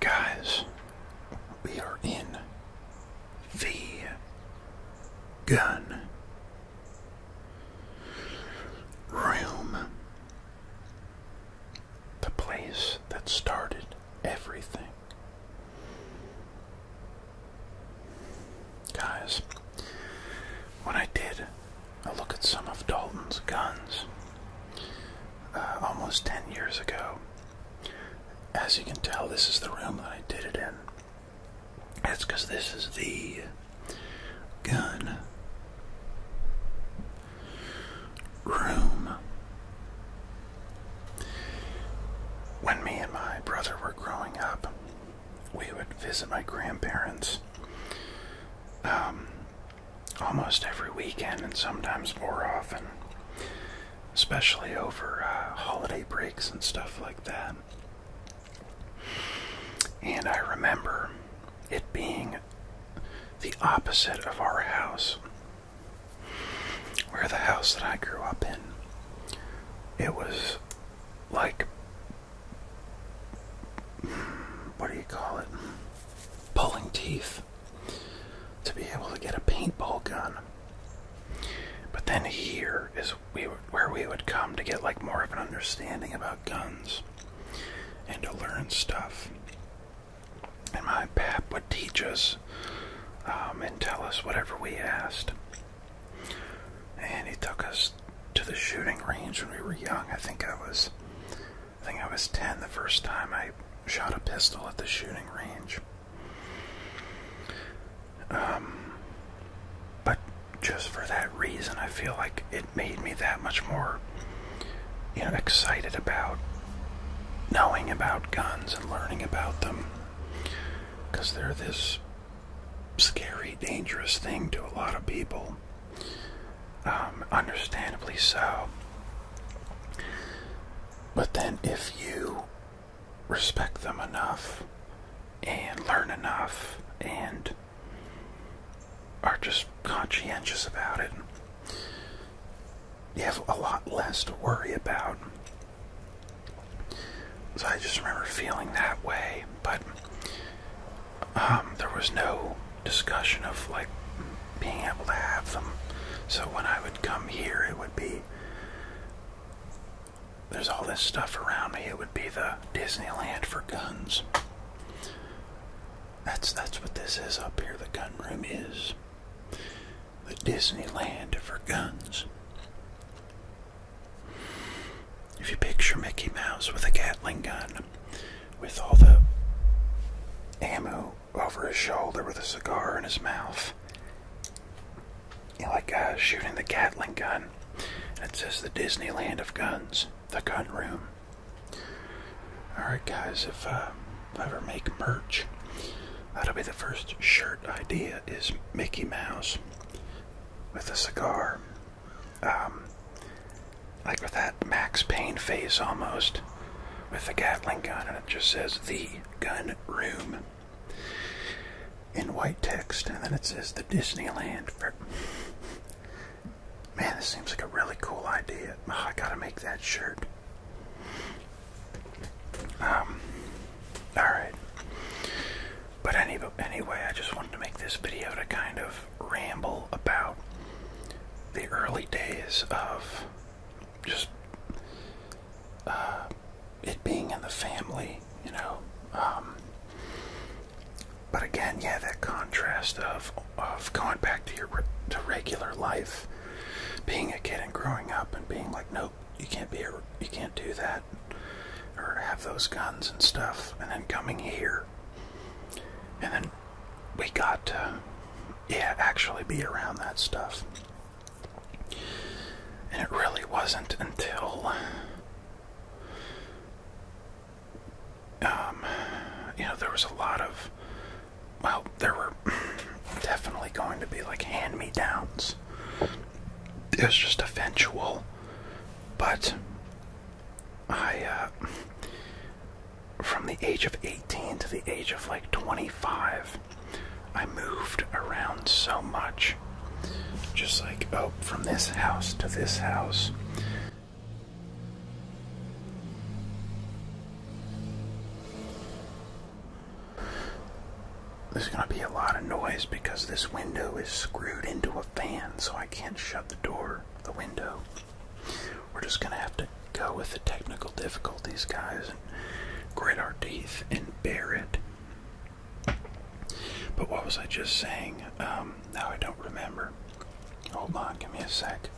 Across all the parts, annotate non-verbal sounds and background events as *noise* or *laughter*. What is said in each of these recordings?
Guys, we are in the gun room. The place that started everything. Guys, when I did a look at some of Dalton's guns, uh, almost 10 years ago. As you can tell, this is the room that I did it in. It's because this is the gun room. When me and my brother were growing up, we would visit my grandparents. Um, almost every weekend and sometimes more often, especially over uh, holiday breaks and stuff like that. And I remember it being the opposite of our house, where the house that I grew up in, it was like what do you call it? Pulling teeth to be able to get a paintball gun. But then here is where we would come to get like more of an understanding about guns and to learn stuff. And my pap would teach us um, and tell us whatever we asked. And he took us to the shooting range when we were young. I think I was I think I was 10 the first time I shot a pistol at the shooting range. Um, but just for that reason, I feel like it made me that much more you know, excited about knowing about guns and learning about them. Because they're this scary, dangerous thing to a lot of people. Um, understandably so. But then, if you respect them enough and learn enough and are just conscientious about it, you have a lot less to worry about. So I just remember feeling that way, but um, there was no discussion of like being able to have them. So when I would come here, it would be there's all this stuff around me. It would be the Disneyland for guns. That's that's what this is up here. The gun room is the Disneyland for guns. If you picture Mickey Mouse with a Gatling gun, with all the ammo over his shoulder with a cigar in his mouth. like uh, shooting the Gatling gun. it says the Disneyland of guns, the gun room. Alright guys, if uh, I ever make merch, that'll be the first shirt idea is Mickey Mouse with a cigar. Um, like with that Max Payne face almost, with the Gatling gun, and it just says the gun room in white text, and then it says the Disneyland. For... Man, this seems like a really cool idea. Oh, I gotta make that shirt. Um, all right. But anyway, I just wanted to make this video to kind of ramble about the early days of just uh, it being in the family, you know. Um, but again, yeah, that contrast of of going back to your to regular life, being a kid and growing up, and being like, nope, you can't be you can't do that, or have those guns and stuff, and then coming here, and then we got to, yeah, actually be around that stuff. And it really wasn't until, um, you know, there was a lot of, well, there were *clears throat* definitely going to be like hand me downs. It was just eventual, but I, uh, from the age of 18 to the age of like 25, I moved around so much. Just like, oh, from this house to this house. There's gonna be a lot of noise because this window is screwed into a fan, so I can't shut the door, the window. We're just going to have to go with the technical difficulties, guys, and grit our teeth and bear it. But what was I just saying? Um, now I don't remember. Hold on, give me a sec.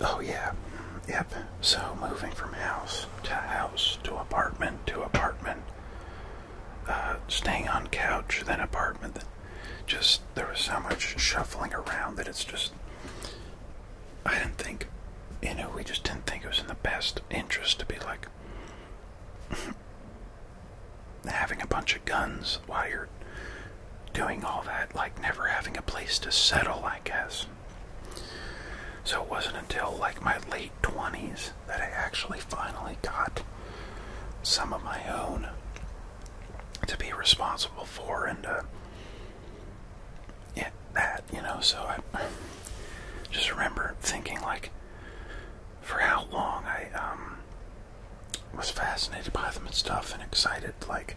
Oh, yeah. Yep. So moving from house to house to apartment to apartment, uh, staying on couch, then apartment, just there was so much shuffling around that it's just I didn't think you know we just didn't think it was in the best interest to be like *laughs* having a bunch of guns while you're doing all that like never having a place to settle I guess so it wasn't until like my late 20s that I actually finally got some of my own to be responsible for and uh, yeah, that you know so I just remember thinking like for how long I um was fascinated by them and stuff and excited like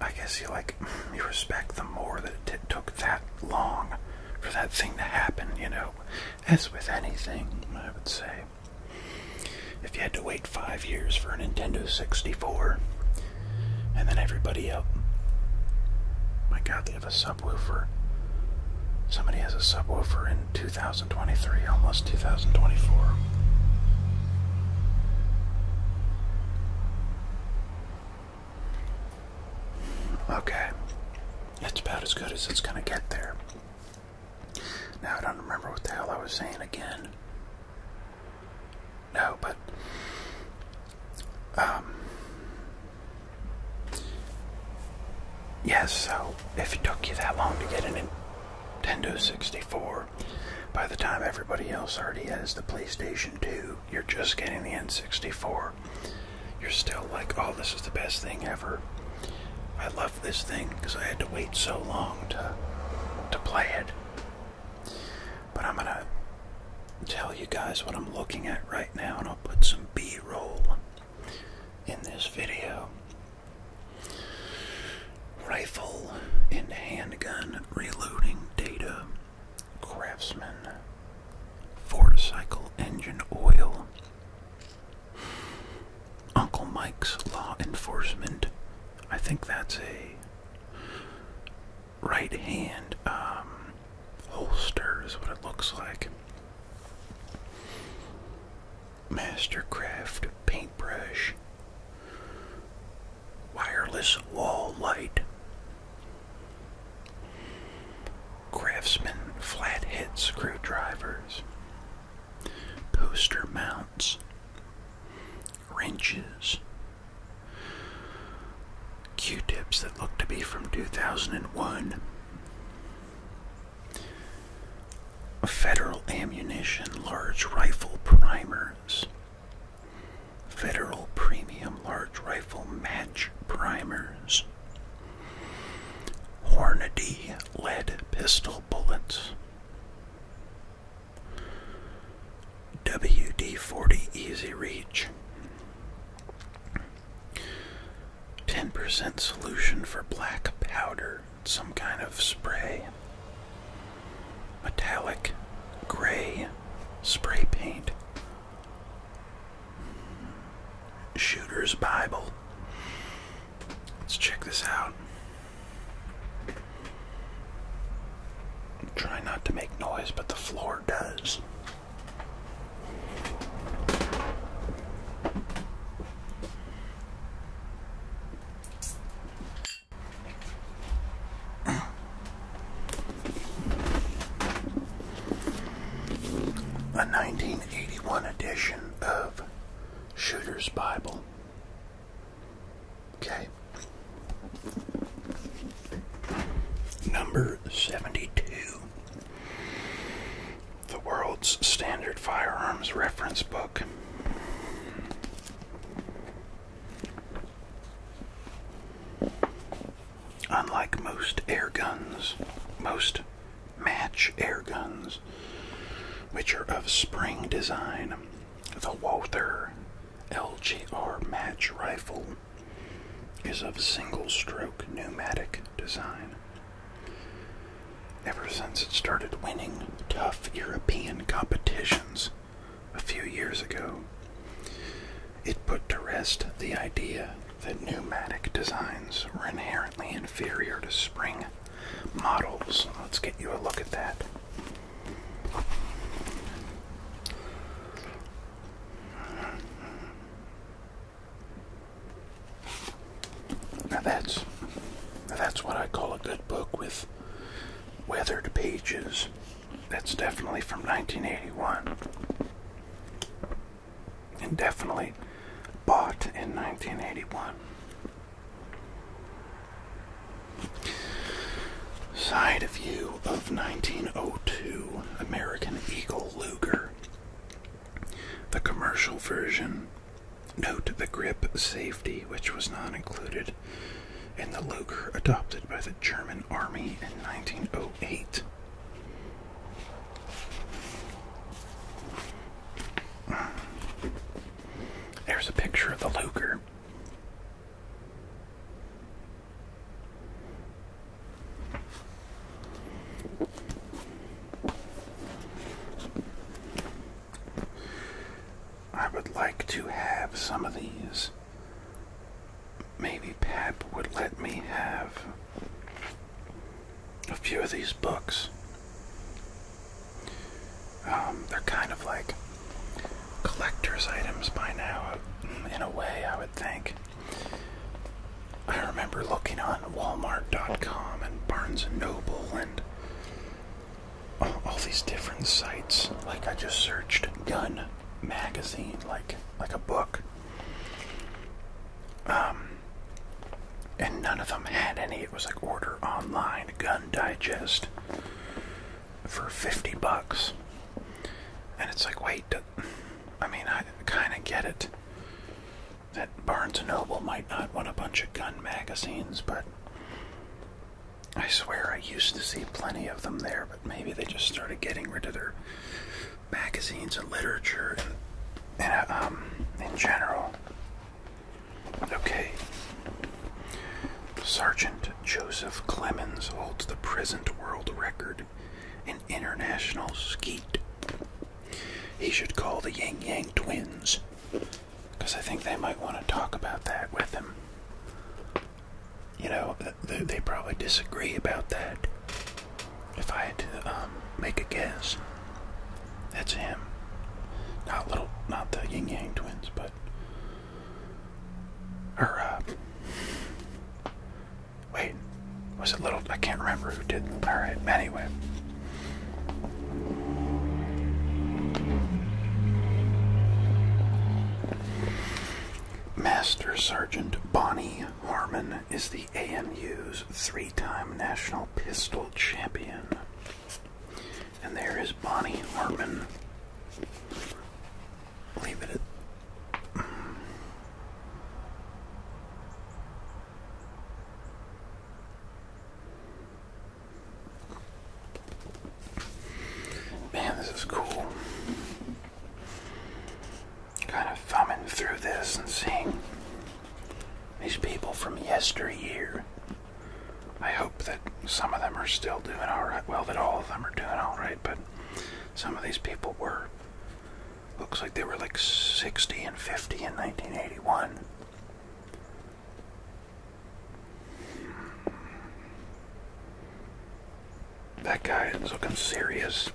I guess you like you respect them more that it took that long for that thing to happen you know as with anything I would say if you had to wait five years for a Nintendo 64, and then everybody up. My god, they have a subwoofer. Somebody has a subwoofer in 2023, almost 2024. Okay. It's about as good as it's going to get there. Now I don't remember what the hell I was saying again. No, but um Yes, so if it took you that long to get a Nintendo 64, by the time everybody else already has the PlayStation 2, you're just getting the N64. You're still like, oh, this is the best thing ever. I love this thing because I had to wait so long to to play it. But I'm gonna tell you guys what I'm looking at right now, and I'll put some B-roll in this video. Rifle and handgun reloading data. Craftsman. Four cycle engine oil. Uncle Mike's Law Enforcement. I think that's a right hand um, holster, is what it looks like. Mastercraft paintbrush. Wireless wall light. Craftsman flathead screwdrivers. Poster mounts, wrenches, Q tips that look to be from 2001, federal ammunition, large rifle primers, federal premium large rifle match primers. Hornady lead pistol bullets, WD-40 Easy Reach 10% solution for black powder, some kind of spray. Metallic gray spray paint. Shooter's Bible. Let's check this out. Try not to make noise, but the floor does. A 1981 edition of Shooter's Bible. Okay. Number 72. The World's Standard Firearms Reference Book. Unlike most air guns, most match air guns, which are of spring design. The Walther LGR match rifle is of single stroke pneumatic design. Ever since it started winning tough European competitions a few years ago, it put to rest the idea that pneumatic designs were inherently inferior to spring models. Let's get you a look at that. Now that's that's what I call a good book with weathered pages. That's definitely from 1981. And definitely bought in 1981. Side view of 1902 American Eagle Luger. The commercial version. Note the grip safety, which was not included in the Luger adopted by the German Army in 1908. There's a picture of the Luger. I would like to have some of these. Maybe Pap would let me have a few of these books. Um, they're kind of like collector's items by now, in a way, I would think. I remember looking on Walmart.com and Barnes & Noble and all, all these different sites. Like, I just searched Gun Magazine, like, like a book. Um, and none of them had any. It was like order online gun digest for 50 bucks. And it's like, wait, I mean, I kind of get it that Barnes & Noble might not want a bunch of gun magazines, but I swear I used to see plenty of them there, but maybe they just started getting rid of their magazines and literature and, uh, um, in general. Okay. Sergeant Joseph Clemens holds the present world record in international skeet. He should call the Yang Yang twins because I think they might want to talk about that with him. You know, they, probably disagree about that. If I had to um, make a guess. That's him. Not little, not the Yin Yang twins, but her. uh, wait, was it little? I can't remember who did. All right, anyway. Master Sergeant Bonnie Harmon is the AMU's three time national pistol champion. And there is Bonnie Hartman. Leave it Man, this is cool. Kind of thumbing through this and seeing these people from yesteryear I hope that some of them are still doing all right. Well, that all of them are doing all right, but some of these people were. Looks like they were like 60 and 50 in 1981. That guy is looking serious.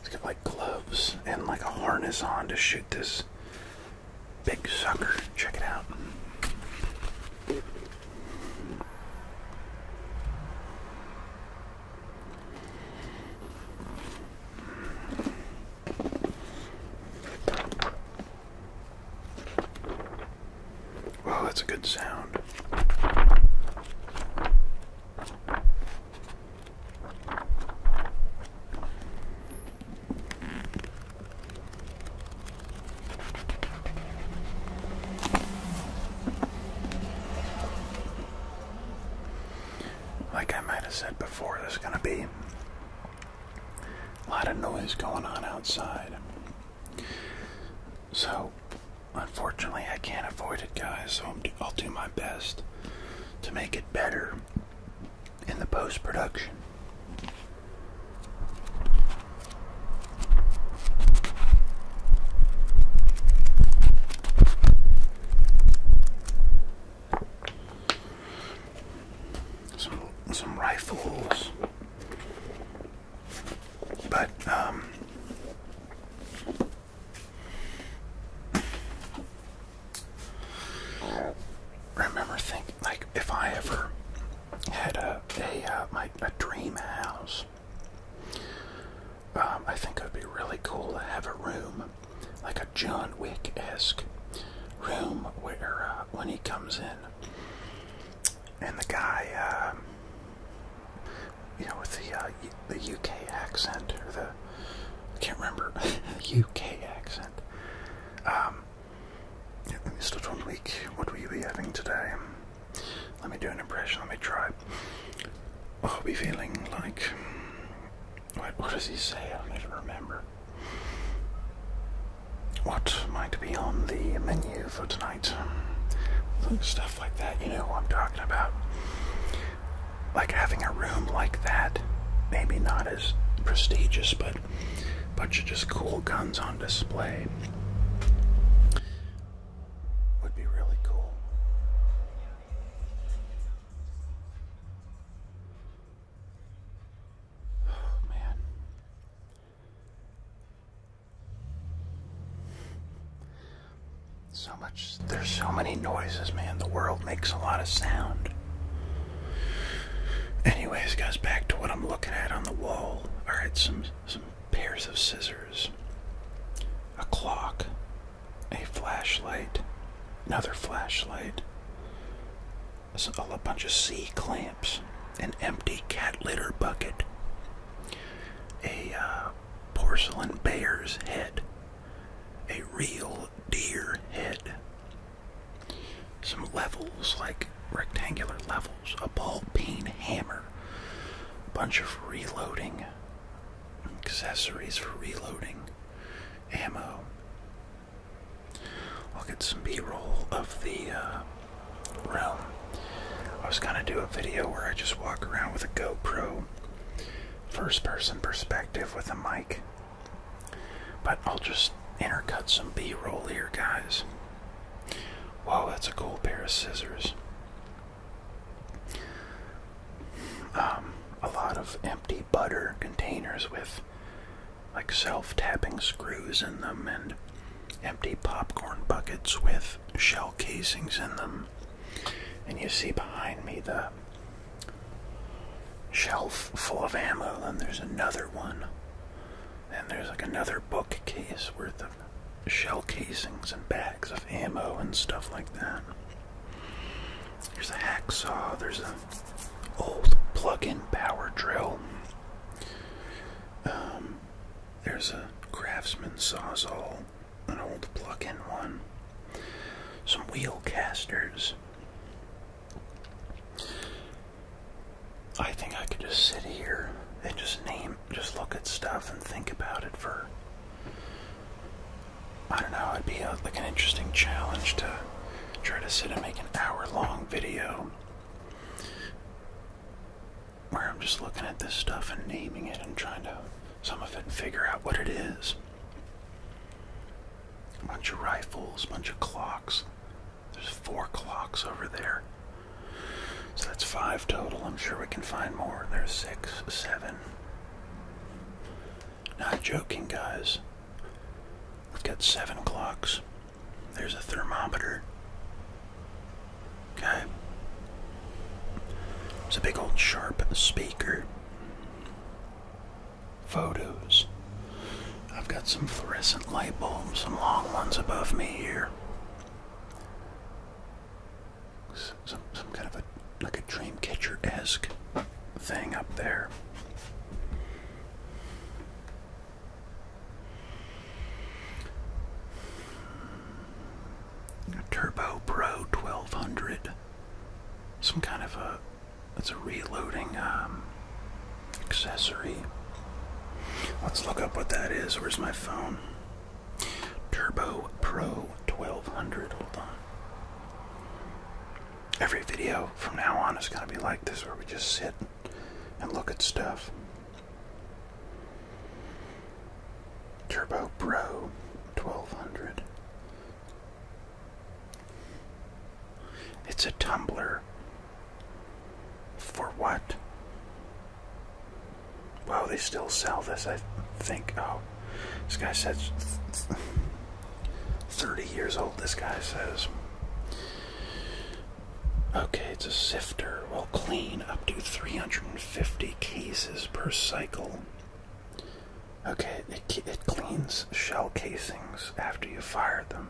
He's got like gloves and like a harness on to shoot this Big sucker. Check it out. Well, that's a good sound. Like I might have said before, there's going to be a lot of noise going on outside. So, unfortunately, I can't avoid it, guys, so i I'll do my best to make it better in the post production. Some some rifles, but um, Remember, think like if I ever had a a uh, my a dream house. Um, I think it would be really cool to have a room, like a John Wick esque room, where uh, when he comes in, and the guy, um, you know, with the uh, the UK accent or the I can't remember UK *laughs* accent, um, yeah, let What will you be having today? Let me do an impression. Let me try. I'll be feeling like. What, what does he say? I don't even remember. What might be on the menu for tonight? Stuff like that. You know what I'm talking about. Like having a room like that. Maybe not not prestigious, but bunch of just cool guns on display would be really cool. Oh, man. So much, there's so many noises, man. The world makes a lot of sound. Anyways, goes back to what I'm looking at on the wall. Alright, some some pairs of scissors, a clock, a flashlight, another flashlight, a bunch of C clamps, an empty cat litter bucket, a uh, porcelain bear's head, a real deer head, some levels, like rectangular levels, a ball peen hammer, a bunch of reloading, accessories for reloading, ammo. I'll get some b-roll of the uh, I was gonna do a video where I just walk around with a GoPro, first person perspective with a mic but I'll just intercut some B roll here, guys. Whoa, that's a cool pair of scissors. Um, a lot of empty butter containers with like self tapping screws in them and empty popcorn buckets with shell casings in them. And you see behind me the shelf full of ammo, then there's another one. and there's like another bookcase worth of shell casings and bags of ammo and stuff like that. There's a hacksaw, there's an old plug-in power drill. Um, there's a craftsman sawzall, an old plug-in one, some wheel casters, I think I could just sit here and just name, just look at stuff and think about it for. I don't know, it'd be like an interesting challenge to try to sit and make an hour long video where I'm just looking at this stuff and naming it and trying to, some of it, and figure out what it is. A bunch of rifles, a bunch of clocks. There's four clocks over there. So that's five total. I'm sure we can find more. There's six, seven. Not joking, guys. We've got seven clocks. There's a thermometer. Okay. It's a big old sharp speaker photos. I've got some fluorescent light bulbs, some long ones above me here. Some, some kind of a like a dream catcher esque thing up there. Turbo Pro 1200. Some kind of a that's a reloading um, accessory. Let's look up what that is. Where's my phone? Turbo Pro 1200. Hold on. Every video from now on is going to be like this where we just sit and look at stuff. Turbo Pro 1200. It's a tumbler. For what? Wow, they still sell this, I think. Oh, this guy says 30 years old, this guy says. Okay, it's a sifter. Will clean up to 350 cases per cycle. Okay, it, it cleans shell casings after you fire them.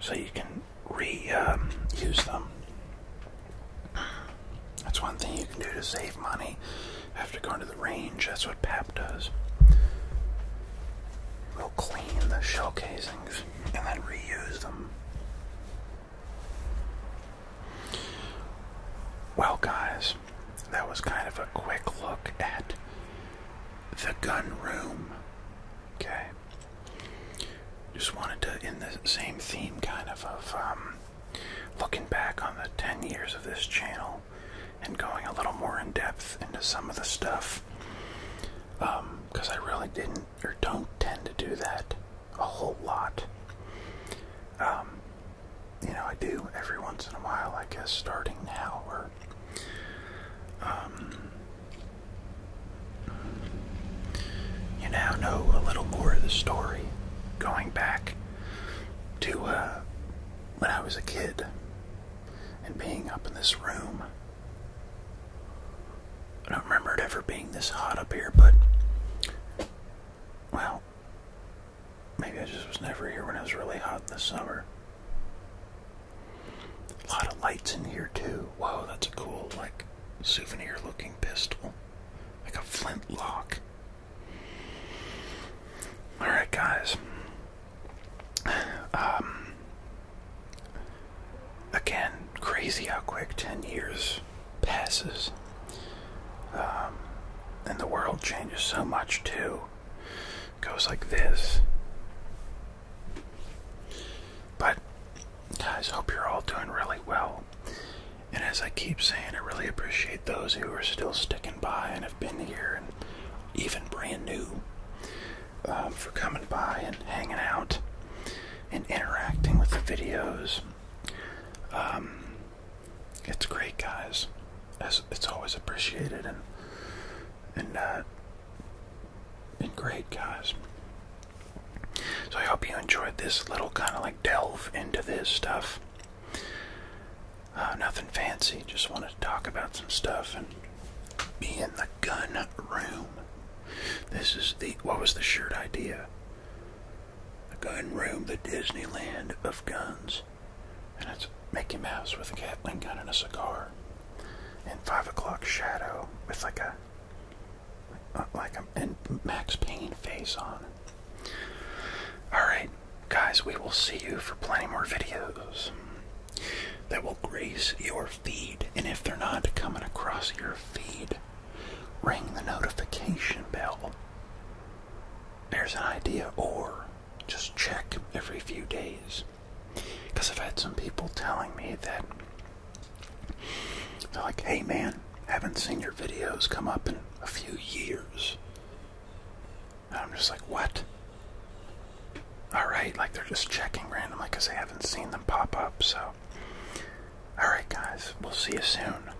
So you can reuse um, them. That's one thing you can do to save money after going to the range. That's what PAP does. We'll clean the shell casings and then reuse them. Well, guys, that was kind of a quick look at the gun room. Okay. Just wanted to, in the same theme, kind of, of um, looking back on the 10 years of this channel and going a little more in depth into some of the stuff. Because um, I really didn't, or don't tend to do that a whole lot. Um, you know, I do every once in a while, I guess, starting now, or, um, you now know a little more of the story going back to uh, when I was a kid and being up in this room. I don't remember it ever being this hot up here, but, well, Maybe I just was never here when it was really hot in the summer. A lot of lights in here too. Whoa, that's a cool, like, souvenir-looking pistol, like a flintlock. All right, guys. Um, again, crazy how quick ten years passes, um, and the world changes so much too goes like this. But, guys, hope you're all doing really well. And as I keep saying, I really appreciate those who are still sticking by and have been here, and even brand new, um, for coming by and hanging out and interacting with the videos. Um, it's great, guys. it's always appreciated and and uh, great, guys. So I hope you enjoyed this little kind of like delve into this stuff. Uh, nothing fancy. Just wanted to talk about some stuff and be in the gun room. This is the what was the shirt idea? The gun room, the Disneyland of guns and it's Mickey Mouse with a Gatling gun and a cigar, and Five O'Clock Shadow with like a like a Max Payne face on. All right, guys, we will see you for plenty more videos that will grace your feed, and if they're not coming across your feed, ring the notification bell. There's an idea, or just check every few days. Because I've had some people telling me that they're like, hey man, haven't seen your videos come up in a few years. And I'm just like, what? Alright, like they're just checking randomly because they haven't seen them pop up, so. Alright, guys, we'll see you soon.